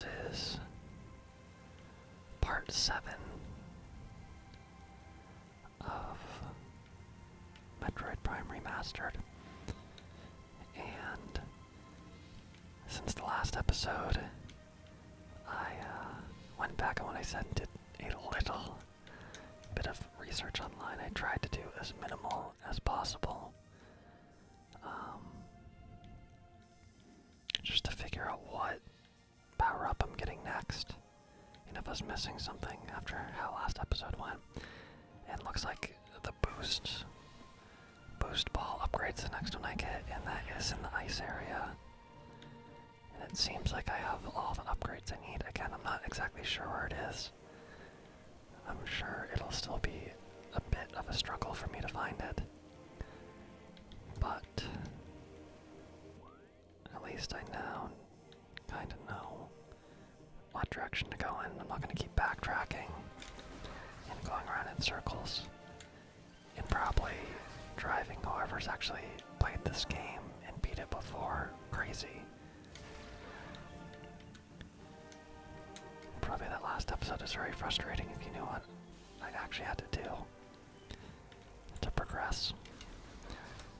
This is part seven of Metroid Prime Remastered. And since the last episode, I uh, went back on what I said and did a little bit of research online. I tried to do as minimal as possible. Um, just to figure out what power up I'm getting next, and if I was missing something after how last episode went. it looks like the boost boost ball upgrades the next one I get, and that is in the ice area. And it seems like I have all the upgrades I need. Again, I'm not exactly sure where it is. I'm sure it'll still be a bit of a struggle for me to find it. But at least I now kind of know what direction to go in. I'm not going to keep backtracking and going around in circles and probably driving whoever's actually played this game and beat it before crazy. Probably that last episode is very frustrating if you knew what I actually had to do to progress.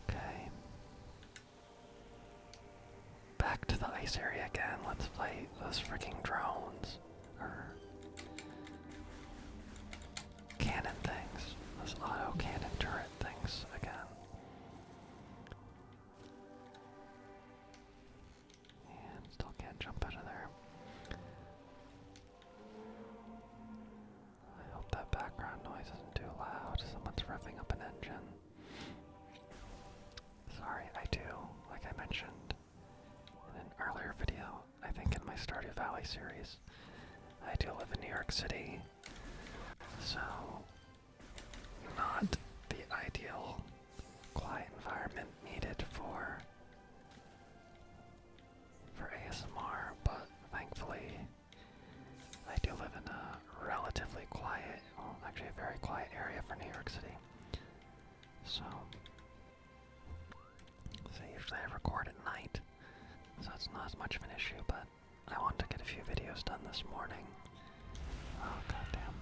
Okay. Back to the ice area again. Let's play those freaking drones. Or cannon things. Those auto cannon turret things again still can't jump out of there. I hope that background noise isn't too loud. Someone's revving up an engine. Sorry, I do, like I mentioned in an earlier video, I think in my Stardew Valley series, I do live in New York City. So, not the ideal quiet environment needed for for ASMR, but thankfully I do live in a relatively quiet, well, actually a very quiet area for New York City. So, so usually I record at night, so it's not as much of an issue, but I want to get a few videos done this morning. Oh, goddamn.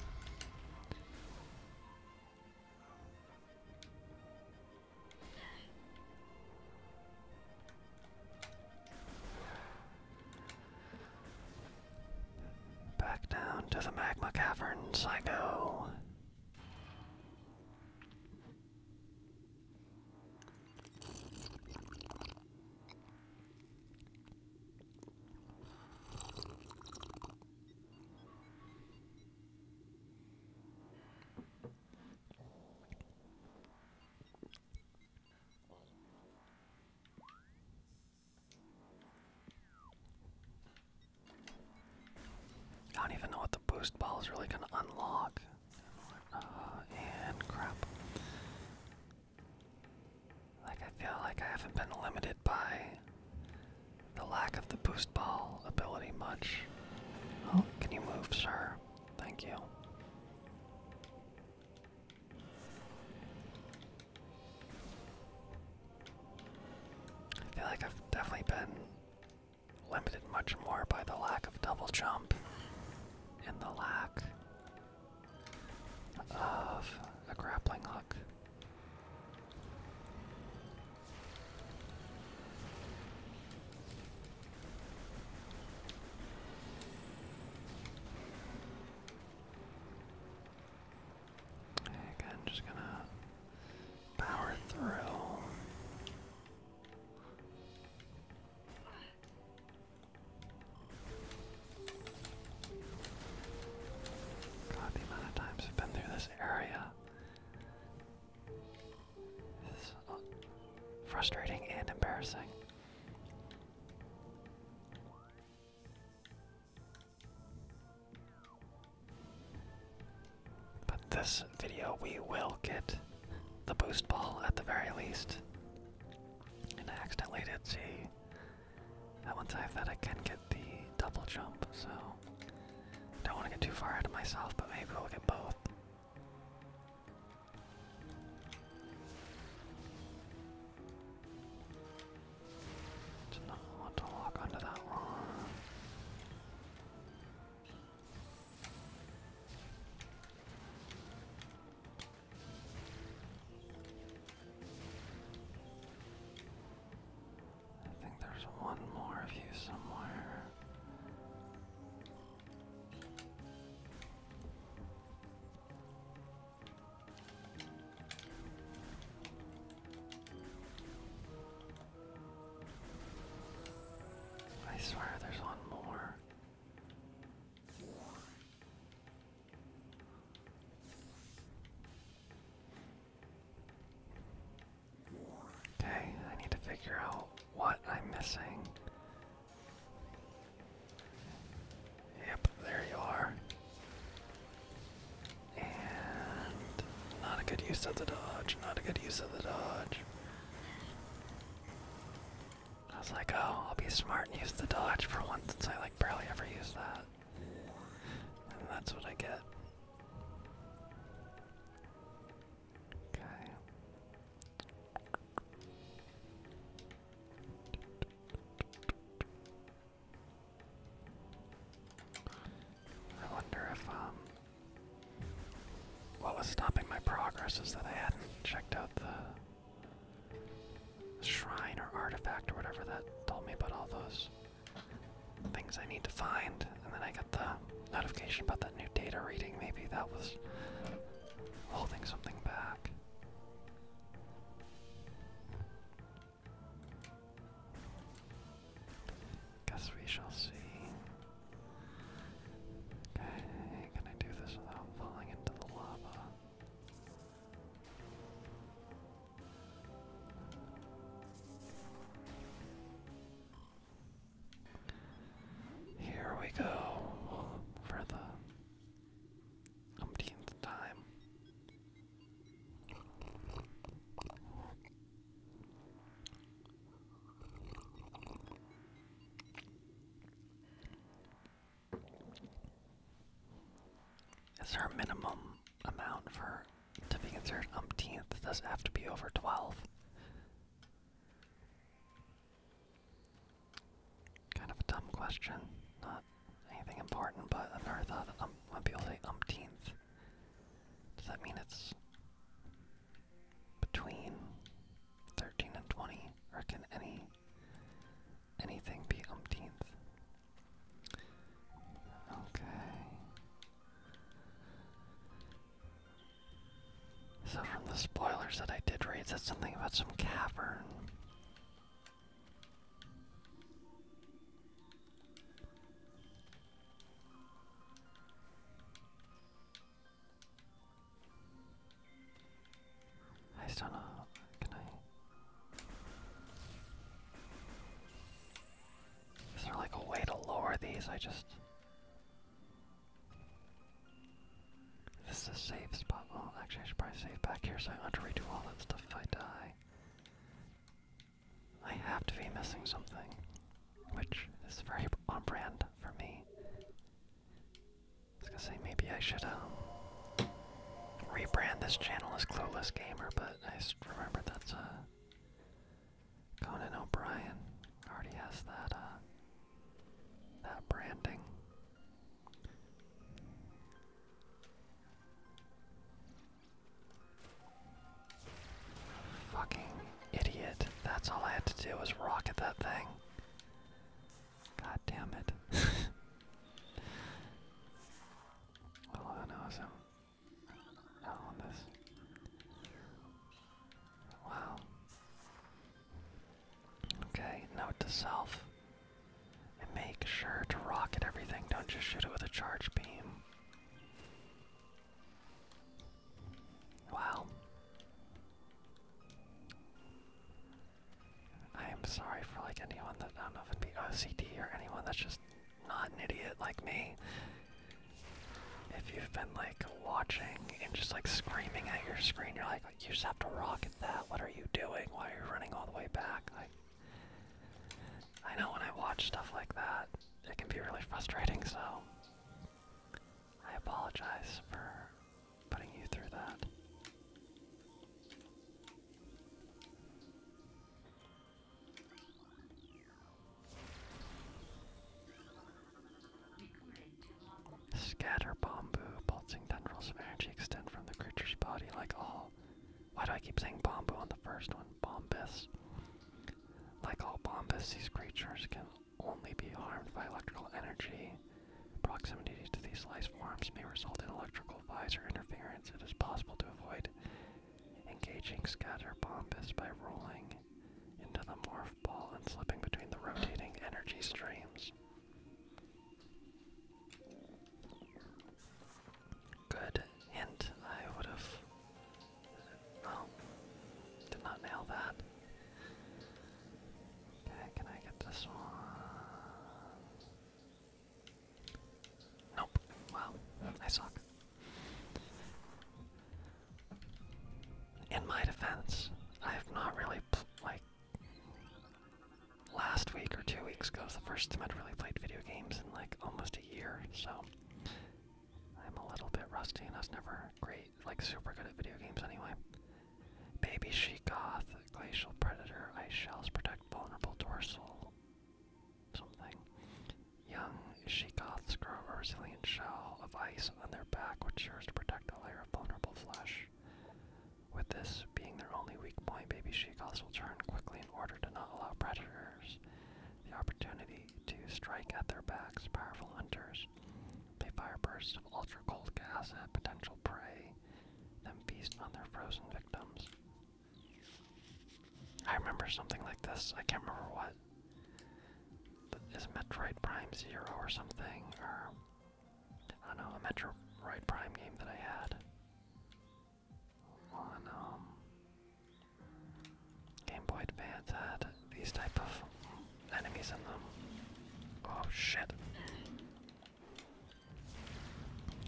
Back down to the magma caverns I go. I don't even know what the boost ball is really gonna unlock. Uh, and crap. Like I feel like I haven't been limited by the lack of the boost ball ability much. Oh, can you move, sir? Thank you. I feel like I've definitely been limited much more by the lack of double jump and the lack of a grappling hook. Okay, just gonna power through. God, the amount of times I've been through this this area frustrating and embarrassing. But this video, we will get the boost ball at the very least. And I accidentally did see that once I have that, I can get the double jump, so. Don't want to get too far ahead of myself, but maybe we'll get both. want to lock onto that one. I think there's one more of you somewhere. I swear there's one more. Okay, I need to figure out what I'm missing. Yep, there you are. And not a good use of the dodge, not a good use of the dodge. I was like, oh, I'll be smart and use the dodge for once since I like barely ever use that. And that's what I get. Okay. I wonder if, um, what was stopping my progress is that I hadn't checked out the shrine or artifact or whatever that told me about all those things I need to find, and then I got the notification about that new data reading. Maybe that was holding something back. Guess we shall see. Okay, can I do this without falling into the lava? Here we go for the umpteenth time. Is there a minimum amount for to be considered umpteenth, does it have to be over 12? Kind of a dumb question. Not anything important, but i never thought of um, when people say umpteenth. Does that mean it's between 13 and 20? Or can any anything be umpteenth? Okay. So from the spoilers that I did read, that's something about some cavern. I don't know. Can I? Is there like a way to lower these? I just. This is a safe spot. Well, actually, I should probably save back here so I don't have to redo all that stuff if I die. I have to be missing something, which is very on brand for me. I was gonna say maybe I should um, rebrand this channel as Clueless Gamer, but I just remember that's a uh, Conan O'Brien already has that uh that branding. Fucking idiot. That's all I had to do was rocket that thing. God damn it. I Wow. Okay, note to self. And make sure to rocket everything, don't just shoot it with a charge beam. Wow. I am sorry for like anyone that I don't know if it'd be OCD or anyone that's just not an idiot like me. If you've been like watching and just like screaming at your screen, you're like, you just have to rock at that. What are you doing? Why are you running all the way back? Like, I know when I watch stuff like that, it can be really frustrating. So I apologize for putting you through that. Scatter bamboo. Pulsing tendrils of energy extend from the creature's body like all. Why do I keep saying bamboo on the first one? Bombus. Like all bombus, these creatures can only be harmed by electrical energy. Proximity to these life forms may result in electrical visor interference. It is possible to avoid engaging Scatter Bombus by rolling into the morph ball and slipping between the rotating energy streams. Good hint. I would have. Well, did not nail that. Okay, can I get this one? Nope. Wow, I suck. In my defense, I have not really like last week or two weeks ago was the first time I'd really played video games in like almost a year, so I'm a little bit rusty and I was never great, like super good at video games anyway. Baby She Goth, Glacial Predator, Ice Shells Protect Vulnerable Dorsal Young she Shegoths grow a resilient shell of ice on their back, which serves to protect a layer of vulnerable flesh. With this being their only weak point, baby she Shegoths will turn quickly in order to not allow predators the opportunity to strike at their backs. Powerful hunters, they fire bursts of ultra cold gas at potential prey, then feast on their frozen victims. I remember something like this. I can't remember what. Is But Metroid Prime Zero or something, or I don't know, a Metroid Prime game that I had on um, Game Boy Advance had these type of enemies in them. Oh shit!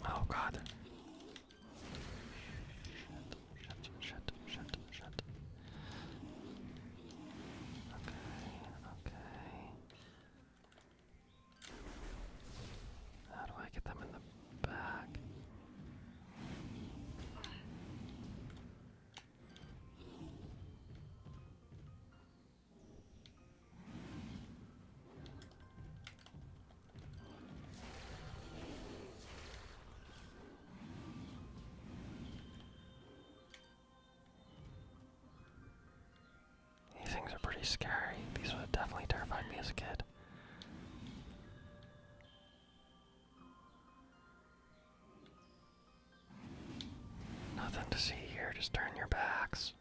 Oh god. Okay, okay. How do I get them in the back? These things are pretty scary. These would have definitely terrified me as a kid. Nothing to see here, just turn your backs.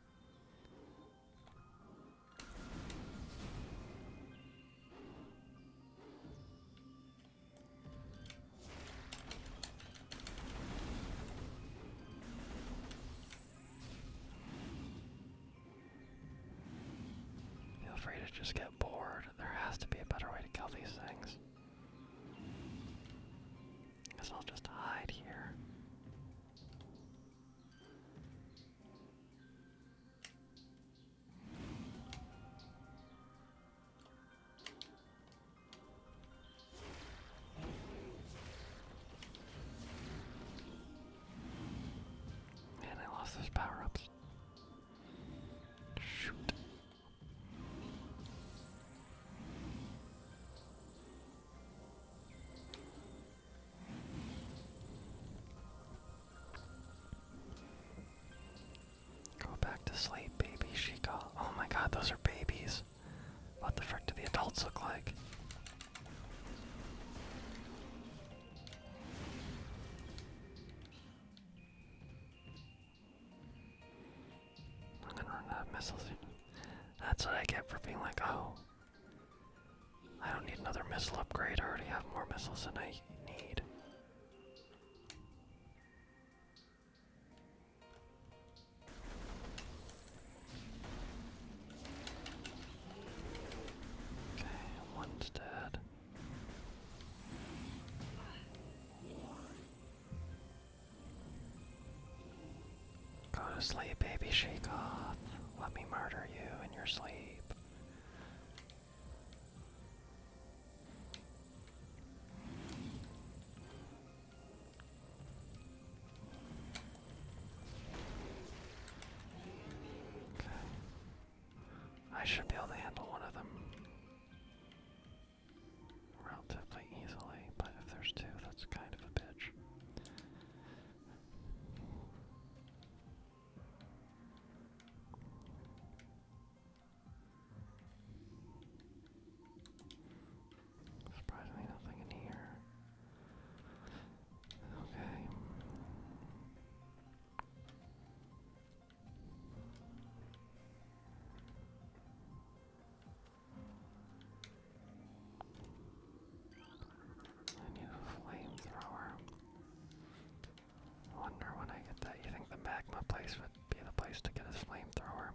Feel free to just get bored. There has to be a better way to kill these things. Guess I'll just hide here. And I lost those power ups. Shoot. Go back to sleep, baby Sheikah. Oh my god, those are babies. What the frick do the adults look like? I'm gonna run out of That's what I get for being like, oh, I don't need another missile upgrade. I already have more missiles than I need. one's dead. Go to sleep, baby, shake off. Let me murder you in your sleep. Okay. I should be able to handle one of them relatively easily, but if there's two, that's kind of a bitch. Surprisingly, nothing in here. Okay. A flamethrower. Wonder when I get that. You think the magma place would be the place to get a flamethrower?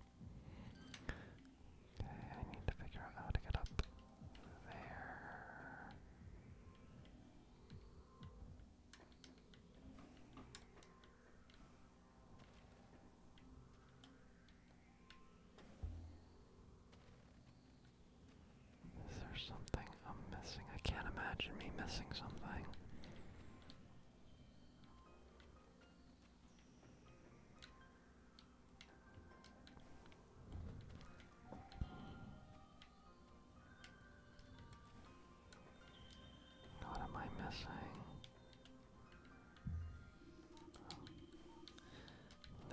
I need to figure out how to get up there. Is there something I'm missing? I can't imagine me missing something. What am I missing?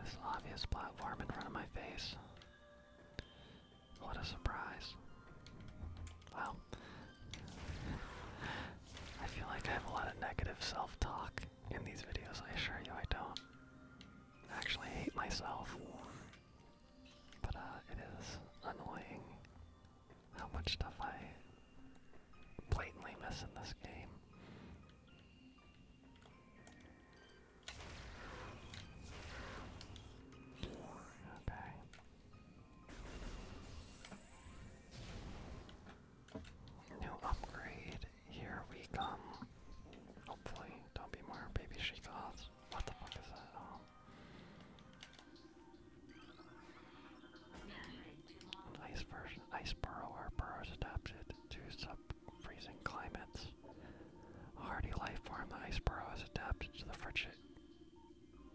This obvious platform in front of my face. What a surprise. Wow. I feel like I have a lot of negative self talk in these videos, I assure you I don't. actually hate myself. But uh, it is annoying how much stuff I blatantly miss in this game. Okay. New upgrade, here we come. Hopefully, don't be more baby she gods. What the fuck is that? Oh. An ice version, ice burrower burrows adapted to sub freezing climates. hardy life form, the ice burrow is adapted to the frigid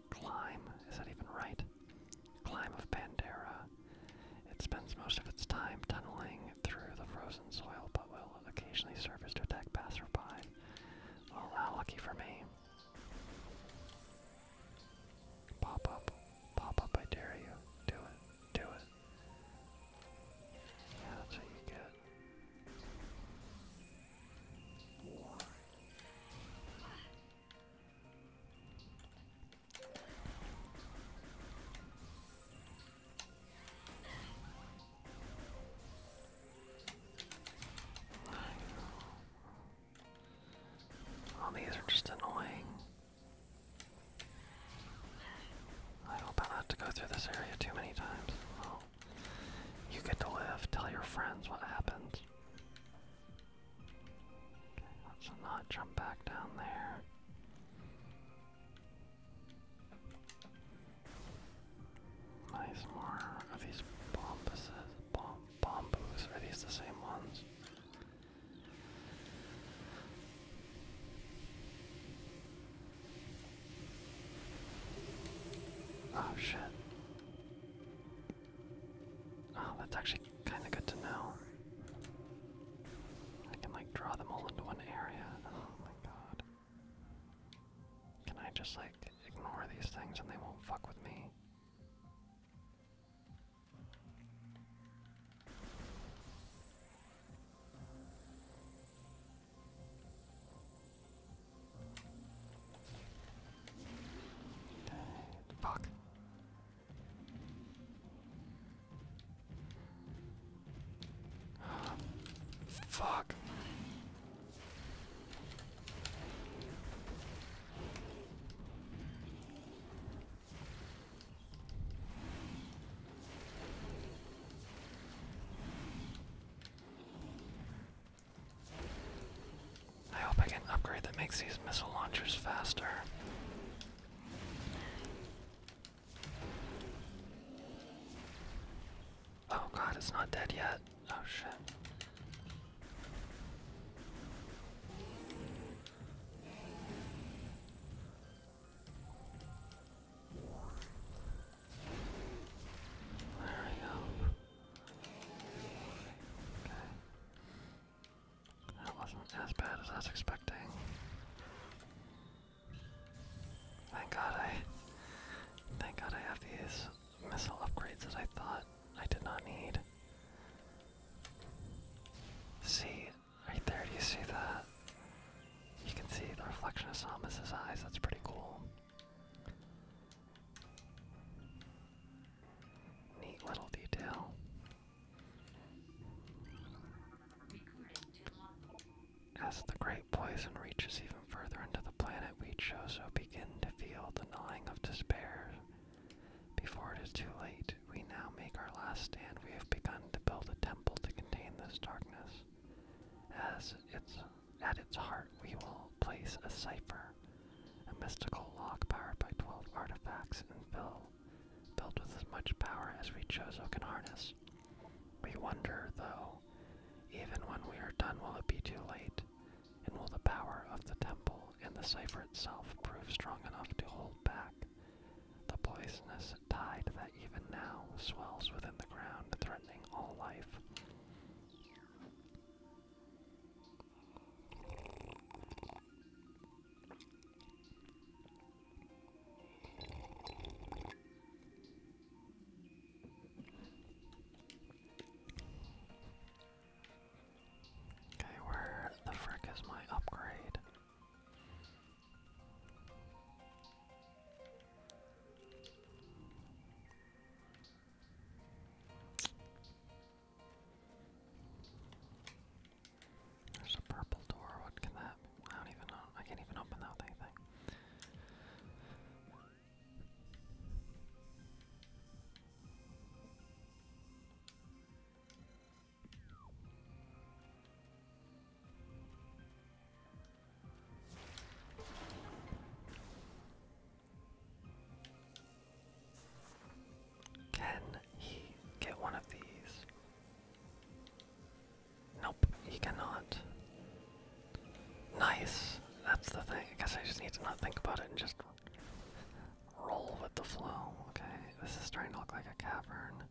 climate. is that even right? Climb of Pandera. It spends most of its time tunneling through the frozen soil, but will occasionally surface to attack passerby. Well, how lucky for me. Pop up. Pop up, I dare you. Do it do it. Yeah, that's what you get. All oh, these are just annoying. I hope I don't have to go through this area too many times. You get to live. Tell your friends what happens. Okay, let's not jump back down there. Nice, more of these bombuses. bombus. Are these the same ones? Oh shit. Oh, that's actually kinda good to know. I can like draw them all into one area. Oh my god. Can I just like ignore these things and they won't fuck with me? Fuck. Fuck. I hope I get an upgrade that makes these missile launchers faster. Oh god, it's not dead yet. Oh shit. There we go. Okay. That wasn't as bad as I was expecting. Thank God I thank God I have these missile upgrades that I thought I did not need. See, Right there, do you see that? You can see the reflection of Samus's eyes, that's pretty cool. Neat little detail. As the great poison reaches even further into the planet, we Chozo begin to feel the gnawing of despair before it is too late we now make our last stand. We have begun to build a temple to contain this darkness. As its at its heart, we will place a cipher, a mystical lock powered by 12 artifacts and fill, built with as much power as we Chozo can harness. We wonder, though, even when we are done, will it be too late? And will the power of the temple and the cipher itself prove strong enough to hold back the poisonous tide that even now swells within the ground, threatening all life. Okay, where the frick is my upgrade? There's a purple door. What can that? I don't even know. I can't even open that with anything. Can he get one of these? Nope, he cannot. Nice. That's the thing. I guess I just need to not think about it and just roll with the flow. Okay, this is starting to look like a cavern.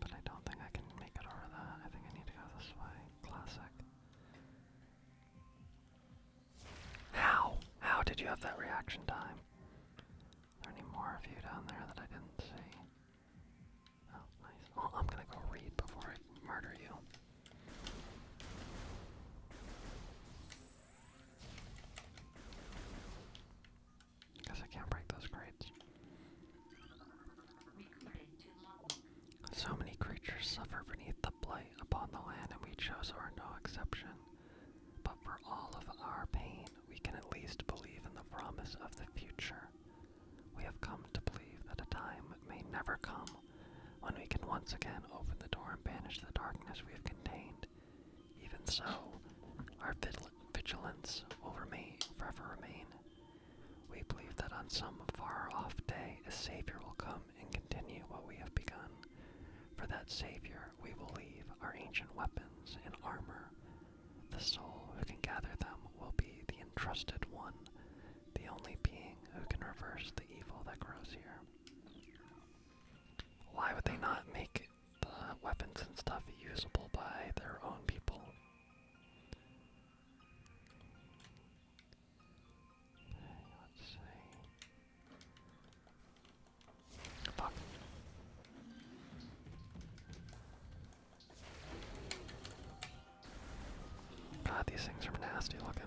But I don't think I can make it over that. I think I need to go this way. Classic. How? How did you have that reaction time? Are there any more of you down there that I didn't see? Oh, nice. Oh, I'm gonna go read before I murder you. Guess I can't break those crates. So many creatures suffer beneath the blight upon the land, and we chose are no exception. But for all of our pain, we can at least believe in the promise of the future. We have come to believe that a time may never come when we can once again open the door and banish the darkness we have contained even so, our vigilance will remain, forever remain. We believe that on some far off day a Savior will come and continue what we have begun. For that Savior, we will leave our ancient weapons and armor. The soul who can gather them will be the entrusted one, the only being who can reverse the evil that grows here. Why would they not make the uh, weapons and stuff usable by their own people. Let's see. God, these things are nasty looking.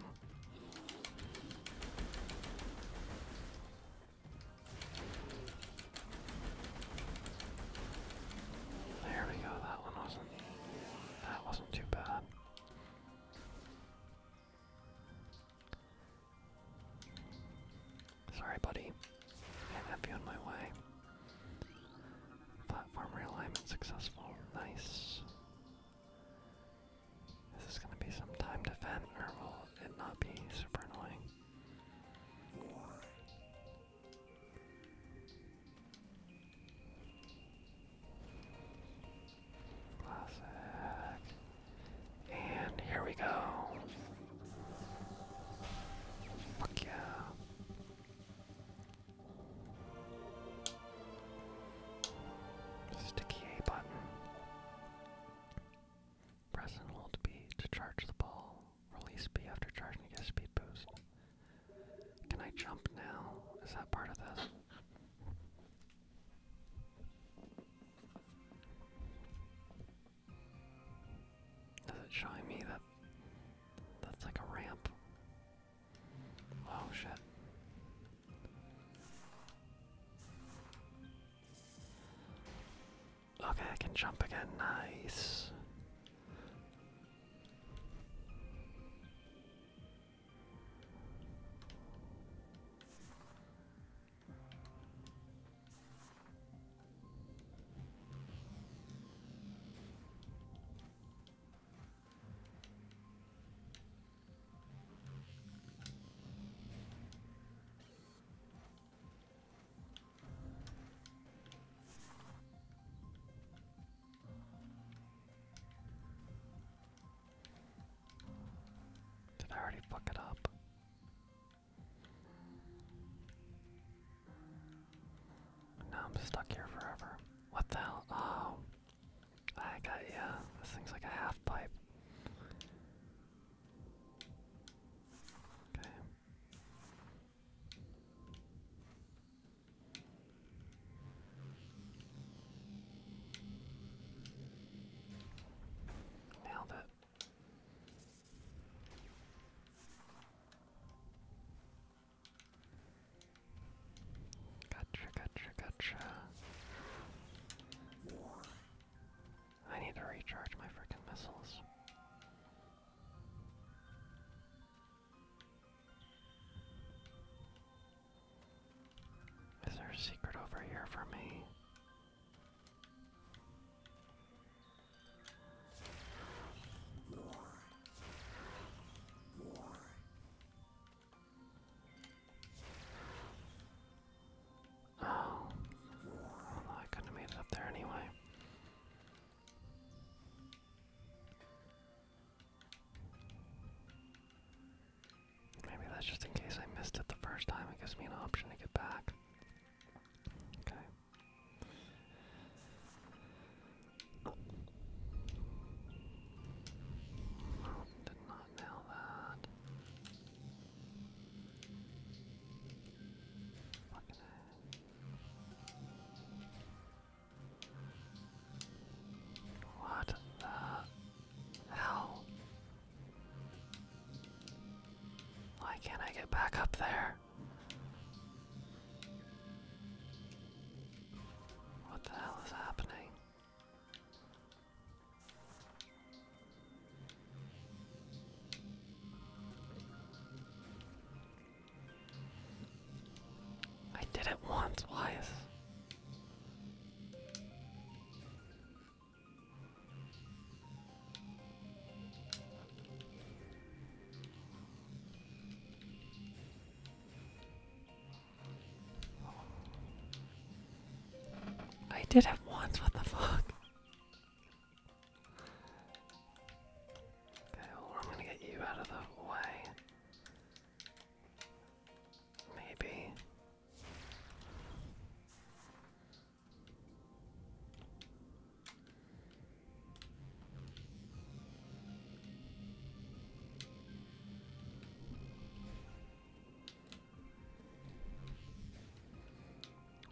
There we go. That wasn't. That wasn't too bad. Sorry, buddy. Can't have on my way. Platform realignment successful. Nice. This Is gonna be some time to vent, or will it not be super annoying? And here we go. Fuck yeah. Sticky A button. Press and hold B to charge the ball. Release B after charging to get speed boost. Can I jump now? Is that part of this? Is it showing me that that's like a ramp? Oh shit. Okay, I can jump again. Nice. Did I already fuck it up? Now I'm stuck here forever. What the hell? Oh. I got, yeah, this thing's like a half Okay. Nailed it. Gotcha, gotcha, gotcha. I need to recharge my freaking missiles. Is there a secret over here for me? Oh. I could have made it up there anyway. Maybe that's just in case I missed it the first time. It gives me an option to get back. Okay. Did not nail that. What the hell? Why can't I get back up there? What the hell is happening? I did it once, why is I did it once, what the fuck? Okay, I'm gonna get you out of the way. Maybe.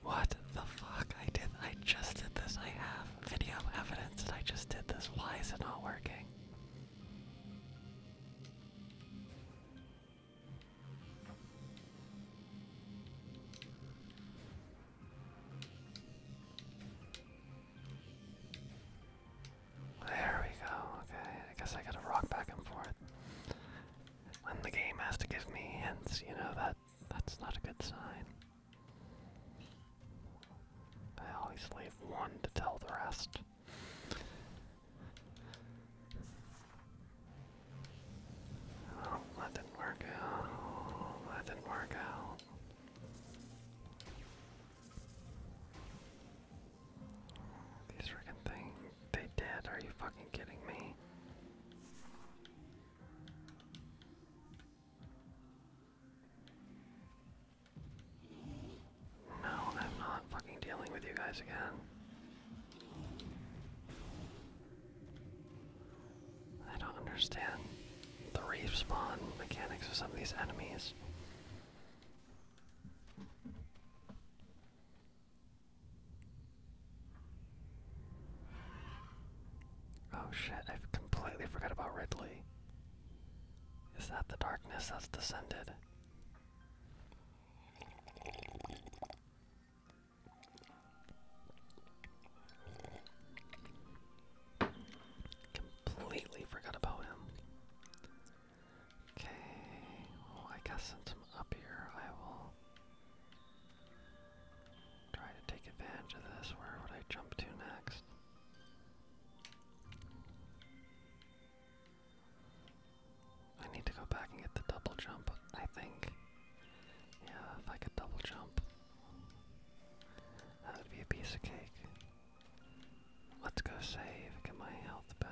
What the fuck? I did. I just did this. I have video evidence that I just did this. Why is it not working? There we go. Okay, I guess I gotta rock back and forth when the game has to give me hints, you know, that that's not a good sign. I always leave one to tell the rest. Oh, that didn't work out. That didn't work out. These freaking things. They did? Are you fucking kidding me? No, I'm not fucking dealing with you guys again. I don't understand the respawn mechanics of some of these enemies. Oh shit, I have completely forgot about Ridley. Is that the darkness that's descended? Completely forgot about him. Okay, well, I guess since I'm up here, I will Try to take advantage of this. Where would I jump to next? I need to go back and get the double jump, I think. Yeah, if I could double jump, that would be a piece of cake. Let's go save, get my health back.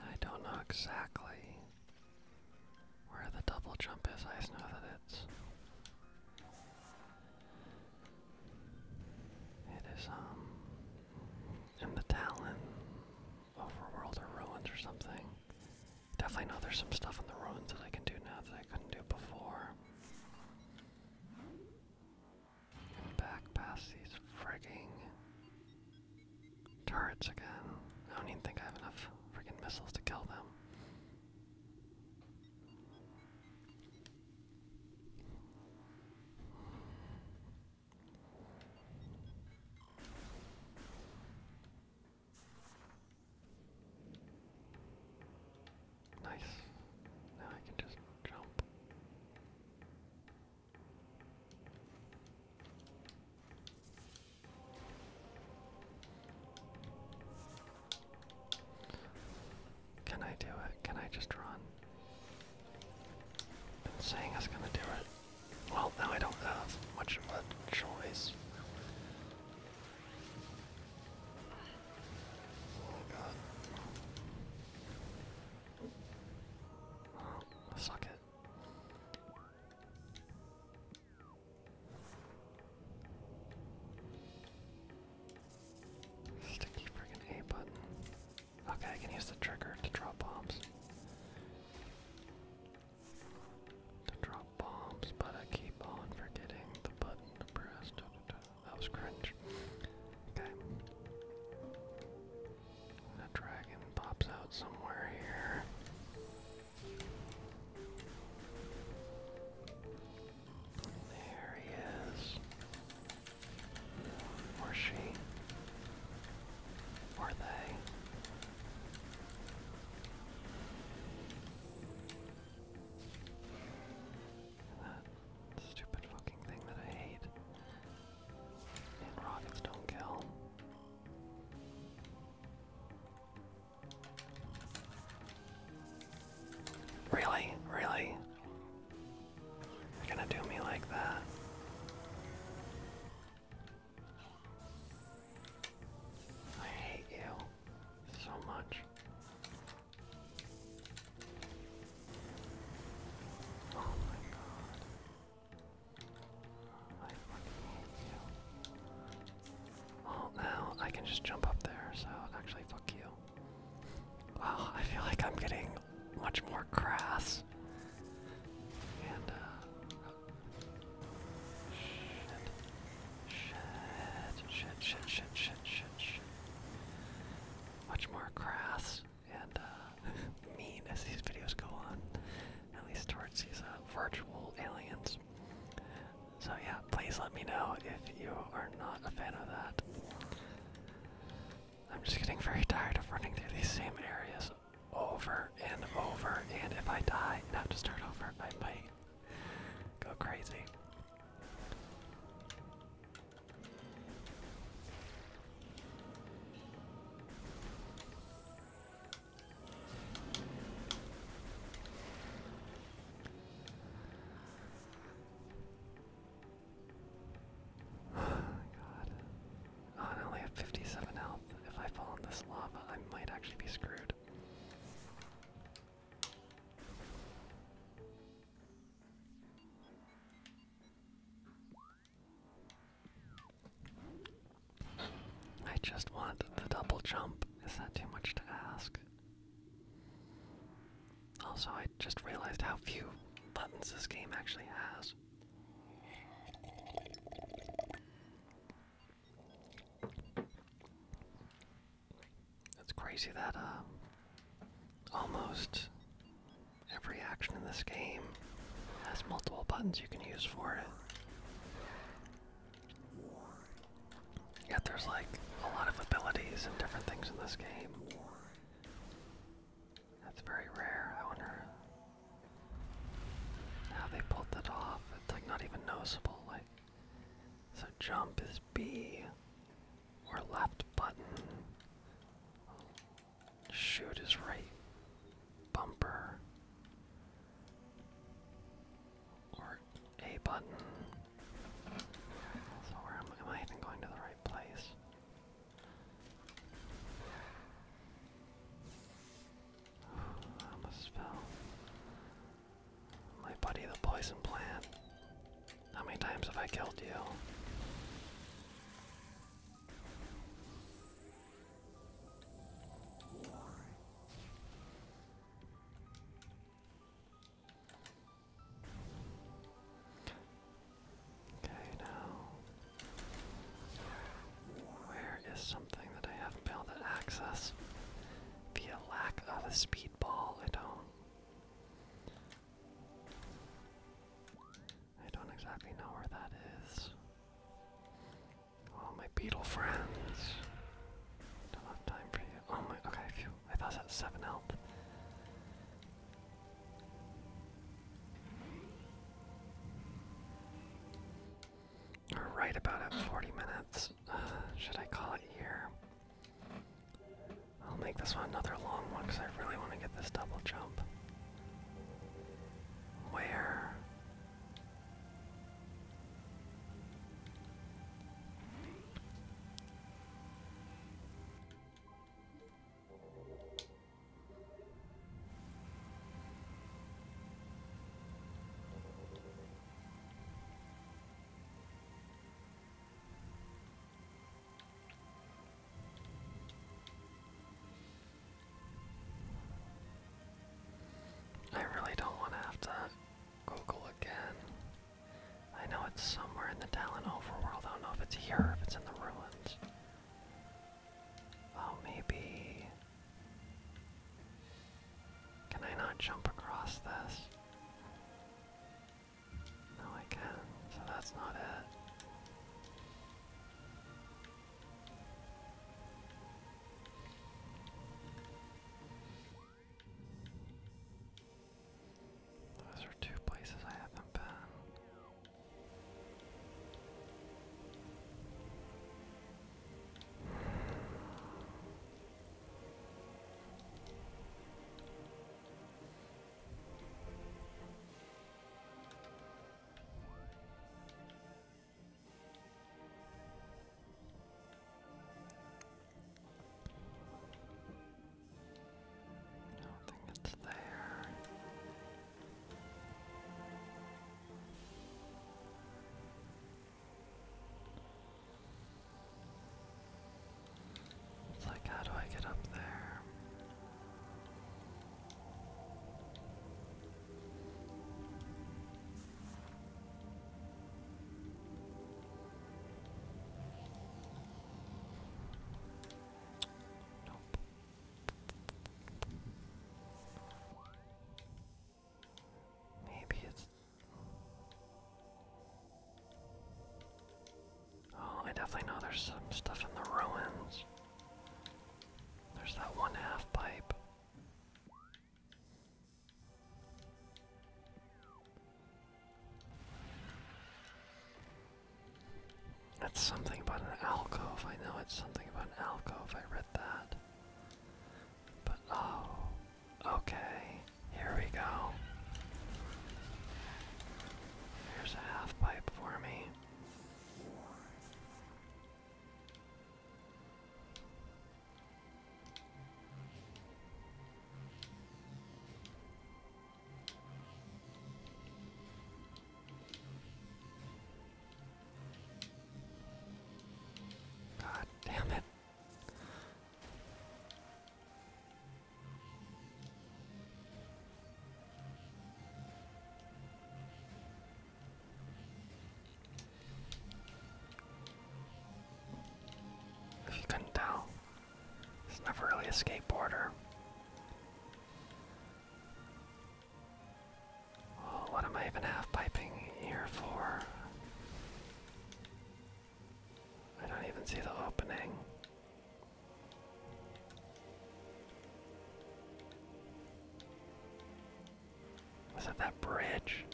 I don't know exactly where the double jump is, I just know that it's it is um in the Talon overworld or ruins or something. Definitely know there's some stuff in the ruins that I can do now that I couldn't do before. back past these frigging turrets again. I don't even think I have enough friggin' missiles to kill them. Nice. Now I can just jump. Can I do it? Can I just run? Been saying I gonna do it. Well, now I don't have much of a choice suck it. Sticky freaking A button. Okay, I can use the trigger to drop bombs to drop bombs, but I keep on forgetting the button to press. That was cringe. Okay. The dragon pops out somewhere here. There he is. Or she. Or they. That stupid fucking thing that I hate. rockets don't kill. Really? Really? You're gonna do me like that? I hate you so much. Oh my god. I fucking hate you. Oh, now I can just jump up there, so actually, fuck you. Wow, I feel like I'm getting much more crass. And, uh, much more crass and uh, mean as these videos go on, at least towards these uh, virtual aliens. So yeah, please let me know if you are not a fan of that. I'm just getting very tired of running through these same areas over and over, and if I die, and have to start over, I might go crazy. Oh, God. I only have 57 health. If I fall in this lava, I might actually be screwed. I just want the double jump. Is that too much to ask? Also, I just realized how few buttons this game actually has. It's crazy that uh, almost every action in this game has multiple buttons you can use for it. Yet there's like a lot of abilities and different things in this game. That's very rare. I wonder how they pulled that off, it's like not even noticeable, like so jump is B or left button. Shoot is right bumper or A button. So where am, I even going to the right place? I almost fell. My buddy the poison plant. How many times have I killed you? Okay, now where is something that I haven't been able to access via lack of a speedball? I don't. I don't exactly know where that is. Oh, my beetle friends. Don't have time for you. Oh my, okay, I thought that 7 health we right about at 40 minutes. Uh, should I call it here? I'll make this one another long one because I really want to get this double jump. Where? I really don't want to have to Google again. I know it's somewhere in the Talon Overworld. I don't know if it's here or if it's in the ruins. Oh, maybe. Can I not jump across this? No, I can, so that's not it. Those are two places I haven't been. I don't think it's there. It's like, how do I get up there? Maybe it's. Oh, I definitely know there's some stuff in the ruins. There's that one half pipe. That's something about an alcove. I know it's something about an alcove. I read that. But oh, okay, here we go. Here's a half pipe for me. God damn it. If you couldn't tell, it's never really a skateboarder what am I even half piping here for? I don't even see the opening. What's it that bridge?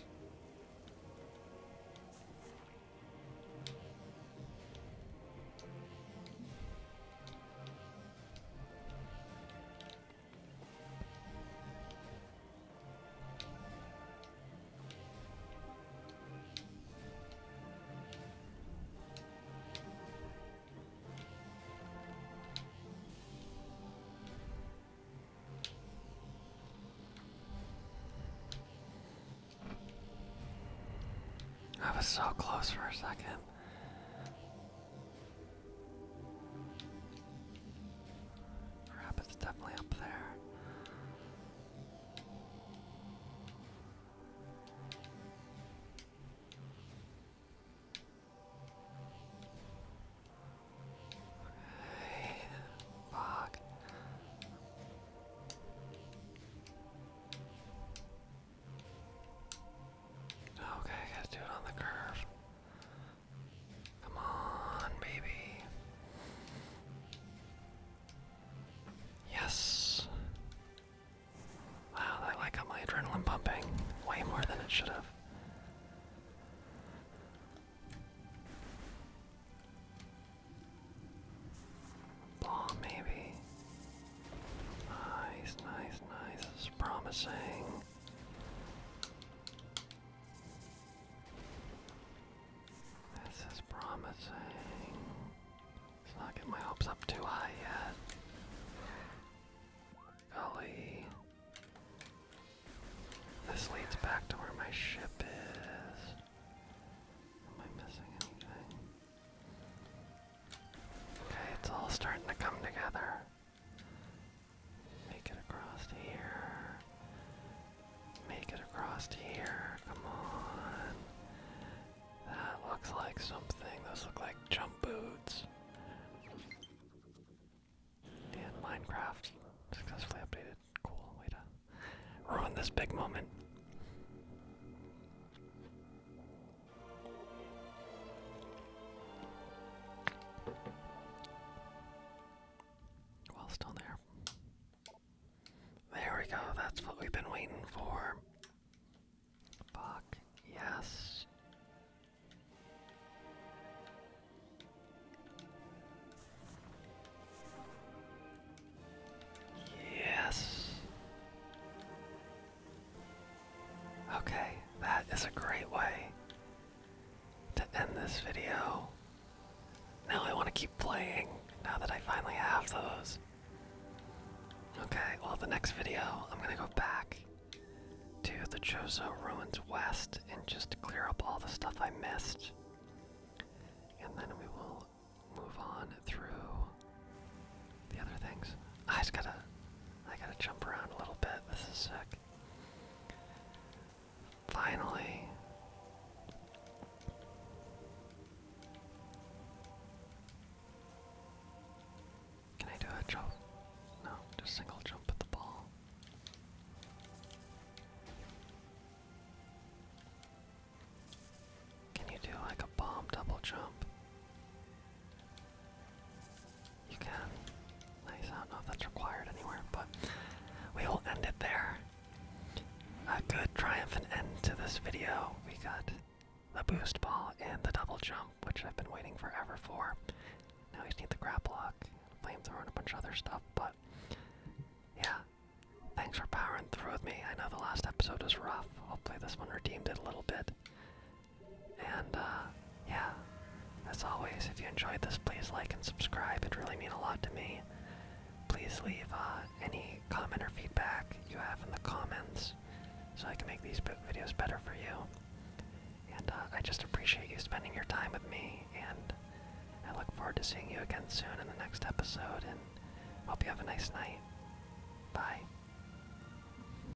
I was so close for a second. Rabbit's definitely up there. fuck. Okay, I gotta do it on the curve. Come on, baby. Yes. Wow, that like got my adrenaline pumping way more than it should have. Ball, maybe. Nice, nice, nice. This promising. This is promising. Let's not get my hopes up too high yet. Golly. This leads back to where my ship is. Am I missing anything? Okay, it's all starting to come together. Make it across here. Make it across here. Come on. That looks like something. Those look like jump boots. And Minecraft successfully updated. Cool. Way to ruin this big moment. Well, still there. There we go, that's what we've been waiting for. Fuck, yes. Yes. Okay, that is a great way to end this video. Now I want to keep playing, now that I finally have those. Okay, well, the next video, I'm gonna go back to the Chozo Ruins West and just clear up all the stuff I missed. And then we will move on through the other things. I just gotta, I gotta jump around a little bit. This is sick. Finally. Can I do a jump? No, just single jump at the ball. Can you do like a bomb double jump? You can. I don't know if that's required anywhere, but we will end it there. A good triumphant end to this video. We got the boost ball and the double jump, which I've been waiting forever for. Now we need the grapple hook, flamethrower, and a bunch of other stuff, but yeah. Thanks for powering through with me. I know the last episode was rough. Hopefully this one redeemed it a little bit. And uh, yeah, as always, if you enjoyed this, please like and subscribe. It really mean a lot to me. Please leave uh, any comment or feedback you have in the comments so I can make these videos better for you. And uh, I just appreciate you spending your time with me, and I look forward to seeing you again soon in the next episode, and hope you have a nice night. Bye.